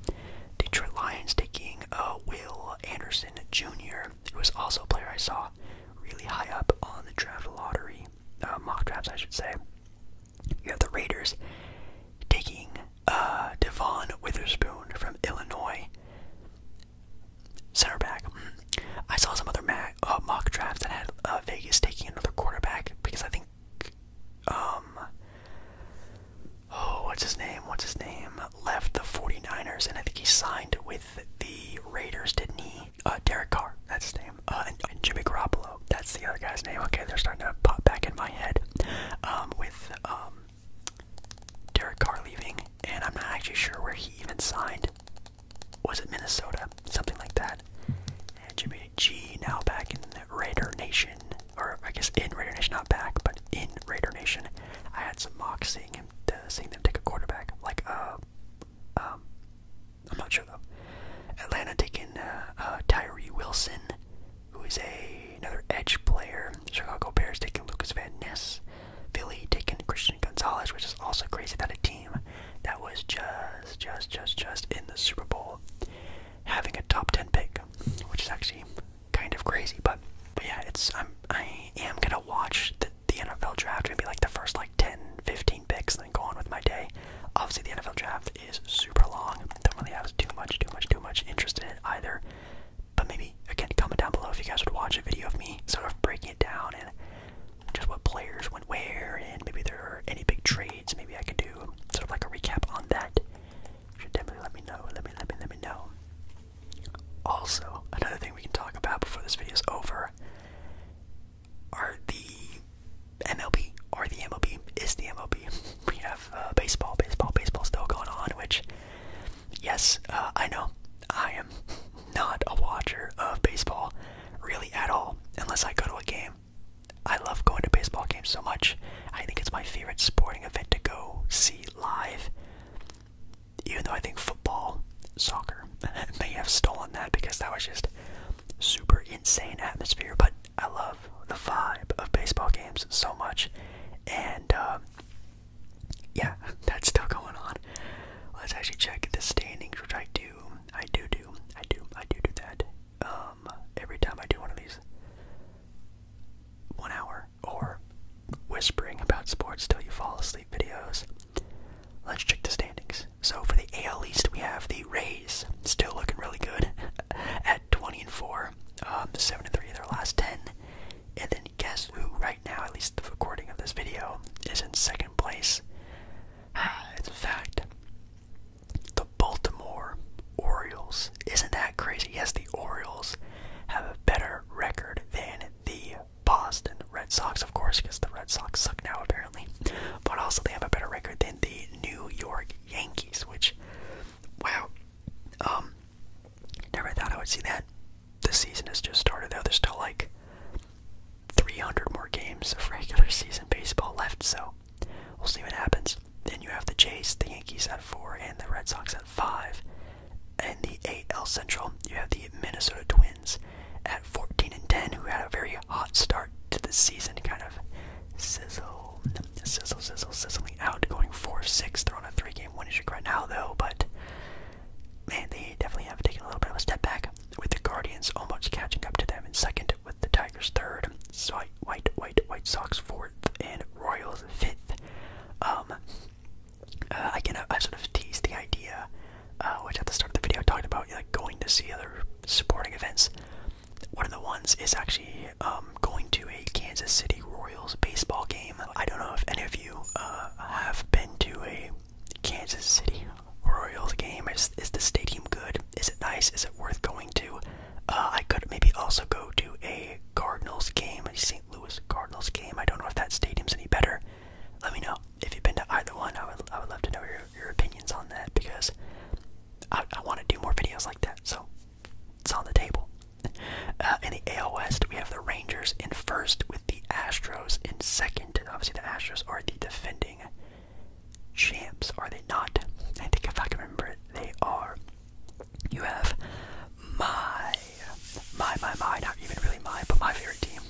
Detroit Lions taking uh, Will Anderson Jr., who was also a player I saw really high up on the draft lottery, uh, mock drafts, I should say. You have the Raiders taking uh, Devon Witherspoon from Illinois. Center back. I saw some other uh, mock drafts that had uh, Vegas taking another quarterback because I think, um, oh, what's his name? What's his name? Left the 49ers and I think he signed with the Raiders, didn't he? Uh, Derek Carr, that's his name. and, Jimmy Garoppolo, that's the other guy's name. Okay, they're starting to pop back in my head. Um, with, um, Derek Carr leaving and I'm not actually sure where he even signed. Was it Minnesota? Something like that. And Jimmy G now back in Raider Nation, or I guess in Raider Nation, not back, but in Raider Nation. I had some mock seeing him, seeing them take a quarterback. Like, uh, um, I'm not sure though. Atlanta taking uh, uh Tyree Wilson, who is a another edge player. Chicago Bears taking Lucas Van Ness. Philly taking Christian Gonzalez, which is also crazy that a team that was just, just, just, just in the Super Bowl having a top 10 pick, which is actually kind of crazy. But, yeah, it's I'm I am gonna watch the, the NFL draft, maybe like the first like 10, picks, and then go on with my day. Obviously, the NFL draft is super long. Don't really have too much, too much, too much interest in it either. But maybe maybe again comment down below if you guys would watch a video of me sort of breaking it down and just what players went where and maybe there are any big trades maybe I could do sort of like a recap on that. should definitely let me know. Let me let me let me know. Also, another thing we can talk about before this video is over are the MLB or the MLB is the MLB. We have uh, baseball, baseball, baseball still going on, which yes, uh, I know I am not a watcher of baseball really at all, unless I go to a game. I love going to baseball games so much. I think it's my favorite sporting event to go see live. Even though I think football, soccer, may have stolen that because that was just super insane atmosphere. But I love the vibe of baseball games so much. And uh, yeah, that's still going on. Let's actually check the standings, which I do. I do do. I do. I do do that. Um, every time I do one of these, one hour or whispering about sports till you fall asleep videos. Let's check the standings. So for the AL East, we have the Rays still looking really good at 20 and 4, um, 7 and 3 of their last 10. And then guess who right now, at least the recording of this video, is in second place? It's a fact. The Baltimore Orioles. Isn't that crazy? Yes, the Orioles have a better record than the Boston Red Sox, of course, because the Red Sox suck now apparently. But also they have a better record than the New York Yankees, which wow. Um never thought I would see that the season has just started though. There's still like 300 more games of regular season baseball left, so we'll see what happens. Then you have the Jays, the Yankees at four, and the Red Sox at five. And the AL Central, you have the Minnesota Twins at 14 and 10, who had a very hot start to the season, kind of sizzle, sizzle, sizzle, sizzling out, going 4 6. throwing a three game winning streak right now, though, but man, they definitely have taken a little bit of a step back, with the Guardians almost catching up to them in second, with the Tigers third, White, White, White, White Sox fourth, and Royals fifth. Um, uh, again, I, I sort of teased the idea, uh, which at the start of the video I talked about, like going to see other sporting events. One of the ones is actually um, going to a Kansas City Royals baseball game. I don't know if any of you uh, have been to a Kansas City Royals game. Is, is the stadium good? Is it nice? Is it worth going to? Uh, I could maybe also go to a Cardinals game, a St. Louis Cardinals game. I don't know if that stadium's any better. Let me know if you've been to either one. I would, I would love to know your, your opinions on that because I, I want to do more videos like that. So it's on the table. Uh, in the AL West, we have the Rangers in first with the Astros in second. Obviously, the Astros are the defending champs, are they not? I think if I can remember they are. You have my, my, my, my, not even really my, but my favorite team.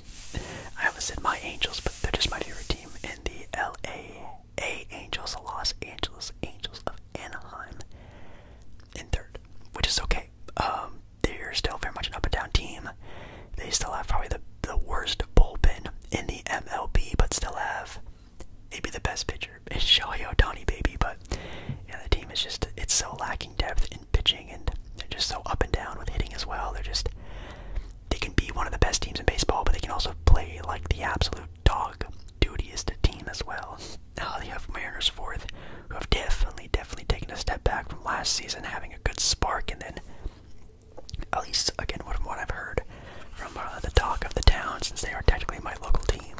I almost said my Angels, but they're just my favorite team in the LA A Angels, Los Angeles Angels of Anaheim in third, which is okay. Um, they're still very much an up and down team. They still have probably the, the worst bullpen in the MLB, but still have maybe the best pitcher is Shohei Otani, baby. But yeah, the team is just it's so lacking depth in pitching, and they're just so up and down with hitting as well. They're just they can be one of the best teams in baseball, but they can also play like the absolute dog dutiest team as well. Now they have Mariners fourth, who have definitely, definitely taken a step back from last season, having a good spark, and then at least again from what I've heard from the talk of the town, since they are technically my local team,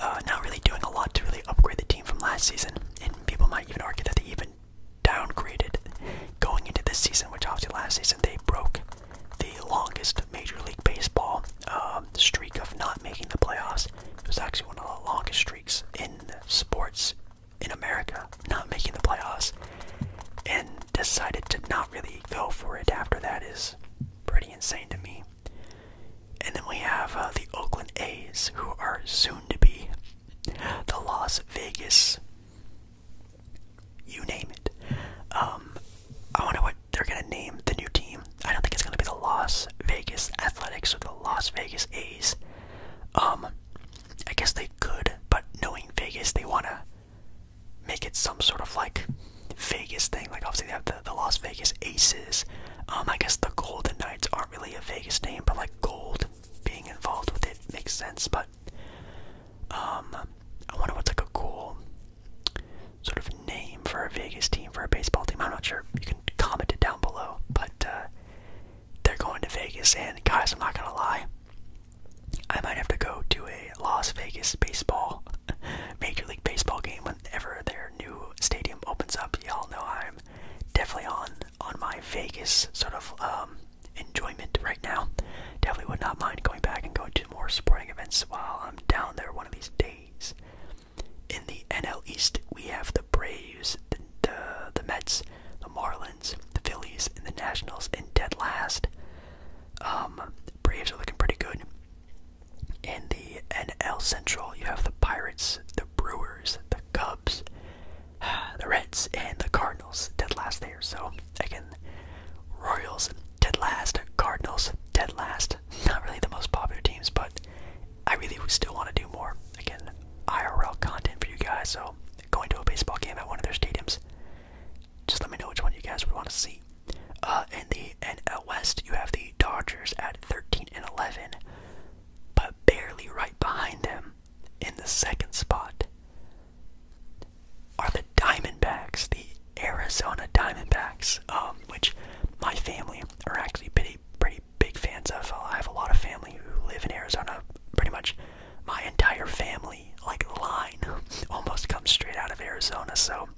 uh, not really doing a lot to really upgrade the team from last season, and people might even argue that they even downgraded going into this season, which obviously last season they broke the longest Major League Baseball um, streak of not making the playoffs. It was actually one of the longest streaks in sports in America not making the playoffs and decided to not really go for it after that is pretty insane to me. And then we have uh, the Oakland A's, who are soon to be the Las Vegas. You name it. Um, I wonder what they're gonna name the new team. I don't think it's gonna be the Las Vegas Athletics or the Las Vegas A's. Um, I guess they could, but knowing Vegas, they want to make it some sort of like Vegas thing. Like, obviously, they have the, the Las Vegas Aces. Um, I guess the Golden Knights aren't really a Vegas name, but like gold being involved with it makes sense. But, um, I wonder what's like a cool sort of name for a Vegas team, for a baseball team. I'm not sure. You can comment it down below. But, uh, they're going to Vegas. And guys, I'm not gonna lie, I might have to go to a Las Vegas baseball, Major League Baseball game whenever their new stadium opens up. Y'all know I'm definitely on on my Vegas sort of um, enjoyment right now. Definitely would not mind going back and going to more sporting events while I'm down there one of these days. In the NL East, we have the the Braves, the, the, Mets, the Marlins, the Phillies, and the Nationals in dead last. Um, Braves are looking pretty good. In the NL Central, you have the Pirates, the Brewers, the Cubs, the Reds, and the Cardinals dead last there. So, again, Royals dead last, Cardinals dead last. Not really the most popular teams, but I really still want to do more. Again, IRL content for you guys, so going to a baseball game at one of their stadiums. Just let me know which one you guys would want to see. Uh, in the NL West, you have the Dodgers at 13 and 11, but barely right behind them in the second spot are the Diamondbacks, the Arizona Diamondbacks, um, which my family are actually pretty, pretty big fans of. I have a lot of family who live in Arizona. Pretty much my entire family, like line, almost comes straight out of Arizona. So,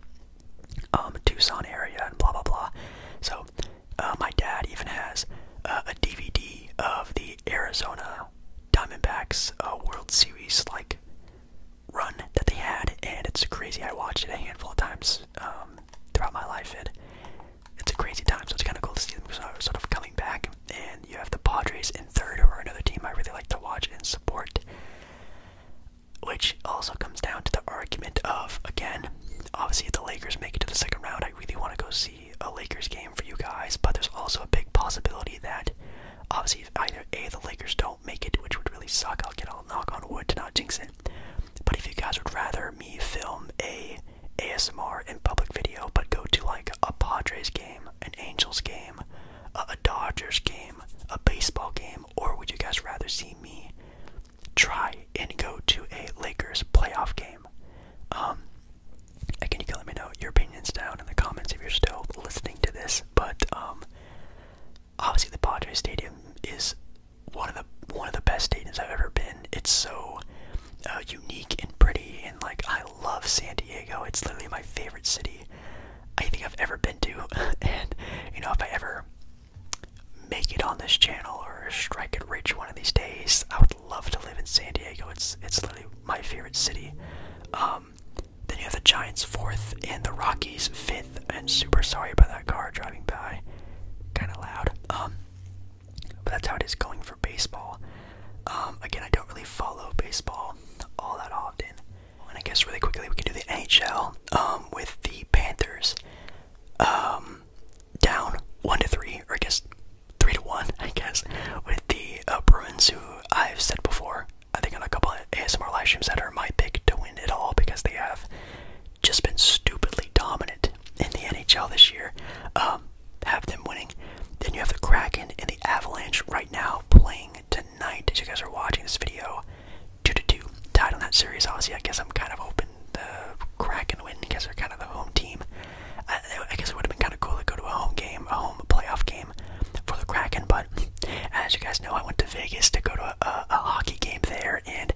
um, Tucson area and blah blah blah. So, uh, my dad even has uh, a DVD of the Arizona Diamondbacks uh, World Series like run that they had, and it's crazy. I watched it a handful of times um, throughout my life, and it's a crazy time, so it's kind of cool to see them sort of coming back. And you have the Padres in third, or another team I really like to watch and support. Which also comes down to the argument of, again, obviously if the Lakers make it to the second round, I really want to go see a Lakers game for you guys, but there's also a big possibility that, obviously, either A, the Lakers don't make it, which would really suck, I'll get all knock on wood to not jinx it, but if you guys would rather me film a ASMR in public video, but go to like a Padres game, an Angels game, a, Dodgers game, a baseball game, or would you guys rather see me try and go to a Lakers playoff game? Um, again, you can let me know your opinions down in the comments if you're still listening to this, but um, obviously the Padres Stadium is one of the one of the best stadiums I've ever been. It's so uh, unique and pretty, and like I love San Diego. It's literally my favorite city I think I've ever been to. and you know, if I ever make it on this channel or strike it rich one of these days, I would love to live in San Diego. It's it's literally my favorite city. Um, then you have the Giants fourth and the Rockies fifth. And super sorry about that car driving by, kind of loud. Um, but that's how it is going for baseball. Um, again, I don't really follow baseball all that often. And I guess really quickly we can do the NHL um, with the Panthers um, down one to three, or I guess three to one, I guess, with the uh, Bruins, who I've said before. I think on a couple of ASMR live streams that are my pick to win it all because they have just been stupidly dominant in the NHL this year have them winning. Then you have the Kraken and the Avalanche right now playing tonight as you guys are watching this video. 2 to 2 tied on that series. Obviously, I guess I'm kind of open the Kraken win because they're kind of the home team. I, guess it would have been kind of cool to go to a home game, a home playoff game for the Kraken, but as you guys know, I went to Vegas to go to a, hockey game there, and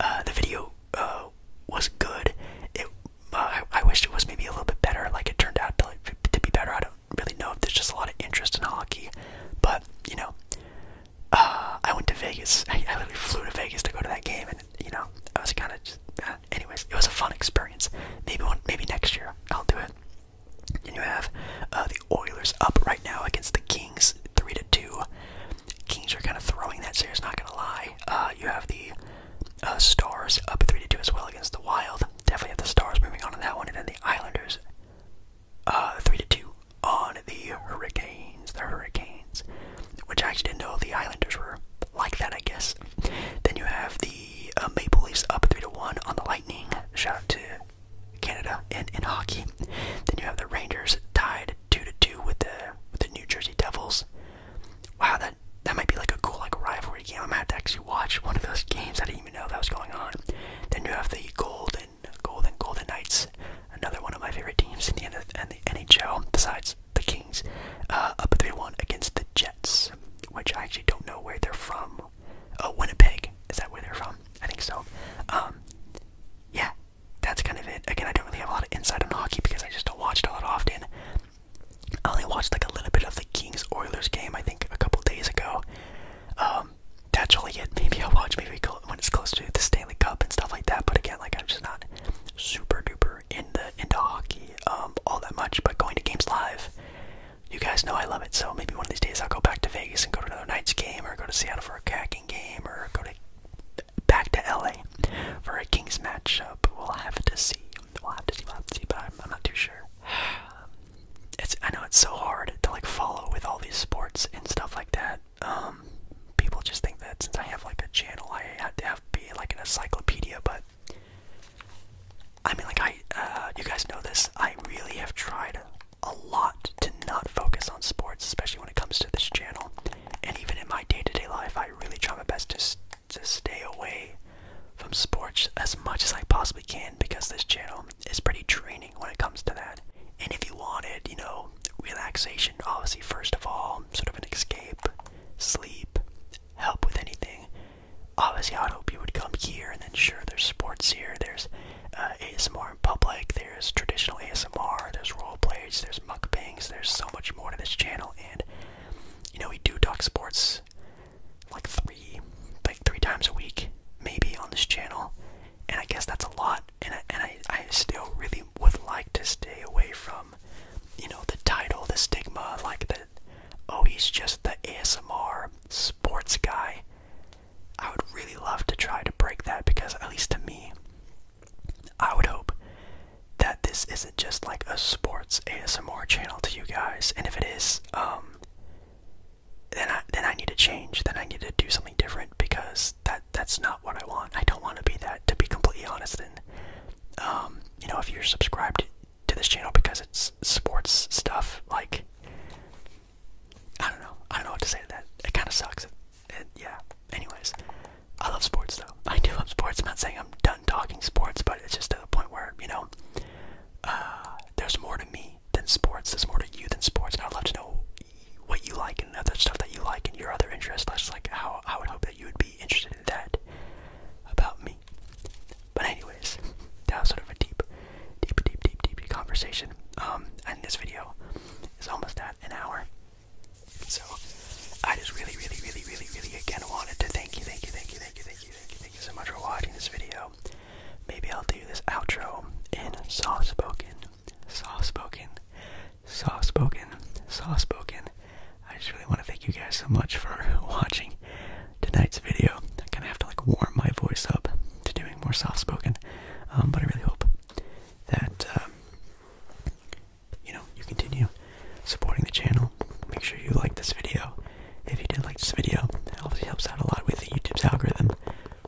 uh, the video uh, was good. It I, I wished it was maybe a little bit better. Like it turned out to, to be better. I don't really know if there's just a lot of interest in hockey, but you know, uh, I went to Vegas. I, I literally flew to Vegas to go to that game, and you know, I was kind of just. Uh, anyways, it was a fun experience. Maybe maybe next year I'll do it. And you have uh, the Oilers up right now against the Kings, three to two. Kings are kind of throwing that series. Not gonna lie. you have the uh, stars up 3 to 2 as well against the Wild. Definitely have the Stars moving on in that one. And then the Islanders uh, 3 to 2 on the Hurricanes. The Hurricanes, which I actually didn't know the Islanders were like that, I guess. Then you have the uh, Maple Leafs up 3 to 1 on the Lightning. Shout out to Canada and in hockey. Then you have the Rangers tied 2 to 2 with the, with the New Jersey Devils. Wow, that that might be like a cool like rivalry game. I am have to actually watch one of those games. I didn't even know that was going on. Then you have the Golden Golden Golden Knights, another one of my favorite teams in the NHL. Besides the Kings, uh, up three one against the Jets, which I actually don't know where they're from. Oh, Winnipeg. Is that where they're from? I think so. Um, yeah, that's kind of it. Again, I don't really have a lot of insight on hockey because I just don't watch it a lot often. I only watched like a little bit of the Kings Oilers game, I think, a couple days ago. Um, that's really it. Maybe I'll watch maybe when it's close to the Stanley Cup and stuff like that. But again, like I'm just not super duper into into hockey um, all that much. But going to games live, you guys know I love it. So maybe one of these days I'll go back to Vegas and go to another night's game, or go to Seattle for a Kraken game, or go to back to LA for a Kings matchup. We'll have to see. We'll have to see. We'll have to see. But I'm, I'm not too sure. It's I know it's so hard to like follow with all these sports and stuff like that. Um, people just think that since I have like a channel, I have to have be like an encyclopedia. But I mean, like I, uh, you guys know this. I really have tried a lot to not focus on sports, especially when it comes to this channel. And even in my day-to-day life, I really try my best to to stay away from sports as much as I possibly can because this channel is pretty draining when it comes to that. And if you wanted, you know, relaxation, obviously first of all, sort of an escape, sleep, help with anything. Obviously, i hope you would come here, and then sure, there's sports here, there's uh, ASMR in public, there's traditional ASMR, there's role plays, there's mukbangs, there's so much more to this channel, and you know we do talk sports like three like three times a week maybe on this channel and i guess that's a lot and I, and I, I still really would like to stay away from you know the title the stigma like that. oh he's just the asmr sports guy i would really love to try to break that because at least to me I would hope that this isn't just like a sports ASMR channel to you guys, and if it is, um, then I then I need to change. Then I need to do something different because that that's not what I want. I don't want to be that. To be completely honest, and um, you know, if you're subscribed to this channel because it's sports stuff, like I don't know, I don't know what to say to that. It kind of sucks. it, yeah. Anyways, I love sports though. I do love sports. I'm not saying I'm done talking sports, but it's just to the point where, you know, uh, there's more to me than sports. There's more to you than sports. And I'd love to know what you like and other stuff that you like and your other interests. That's just like how I would hope that you would be interested in that about me. But anyways, that was sort of a deep, deep, deep, deep, deep conversation. Um, and this video is almost at an hour. So I just really, really, really, really, really again wanted to thank you, thank you, thank you, thank you, thank you, thank you, so much for watching this video. Maybe I'll do this outro in soft spoken, soft spoken, soft spoken, soft spoken. I just really want to thank you guys so much for watching tonight's video. I kind of have to like warm my voice up to doing more soft spoken, um, but I really hope that um, you know, you continue supporting the channel. Make sure you like this video. If you did like this video, that obviously helps out a lot with YouTube's algorithm,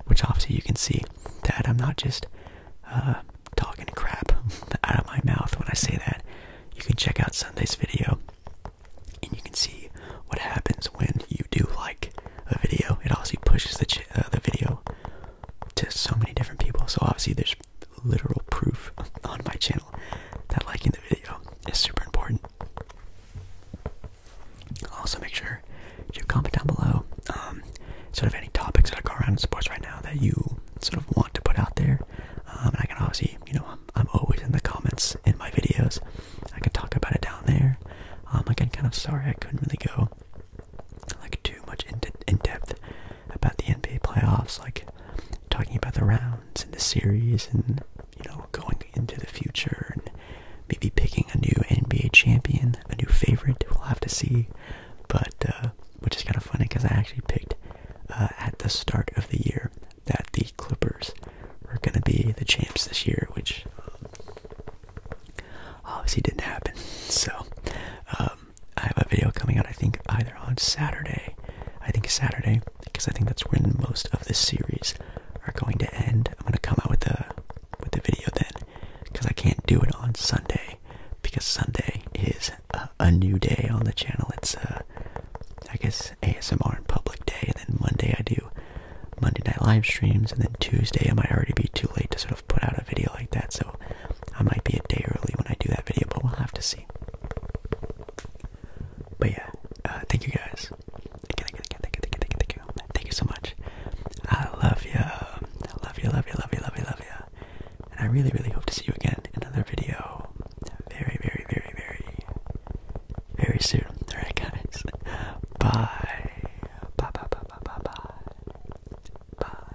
which obviously you can see that I'm not just uh, talking crap out of my mouth when I say that. You can check out Sunday's video and you can see what happens when you do like a video. It obviously pushes the, uh, the video to so many different people. So obviously there's literal proof on my channel that liking the video is super important. Also, make sure you comment down below um, sort of any topics that are going around in sports right now that you sort of want to put out there. Um, I can obviously, you know, I'm, always in the comments in my videos. I can talk about it down there. Um, again, kind of sorry I couldn't really go like too much in, in depth about the NBA playoffs, like talking about the rounds and the series and you know, going into the future and maybe picking a new NBA champion, a new favorite, we'll have to see. But uh, which is kind of funny because I actually picked uh, at the start of the year that the Clippers were gonna be the champs this year, which obviously didn't happen. So um, I have a video coming out, I think, either on Saturday. I think Saturday, because I think that's when most of this series are going to end. I'm gonna come out with a with the video then, because I can't do it on Sunday, because Sunday is a, new day on the channel. It's a, uh, I guess ASMR and public day, and then Monday I do Monday night live streams, and then Tuesday I might already be too late to sort of put out a video like that. So I might be a day early when I do that video, but we'll have to see. But yeah, uh, thank you guys. Thank you, thank you, thank you, thank thank you, thank you so much. I love you. I love you, love you, love you, love you, love you. And I really, really hope to see you again in another video very, very, very, very, very soon. Alright, guys. Bye, bye, bye, bye, bye, bye. Bye.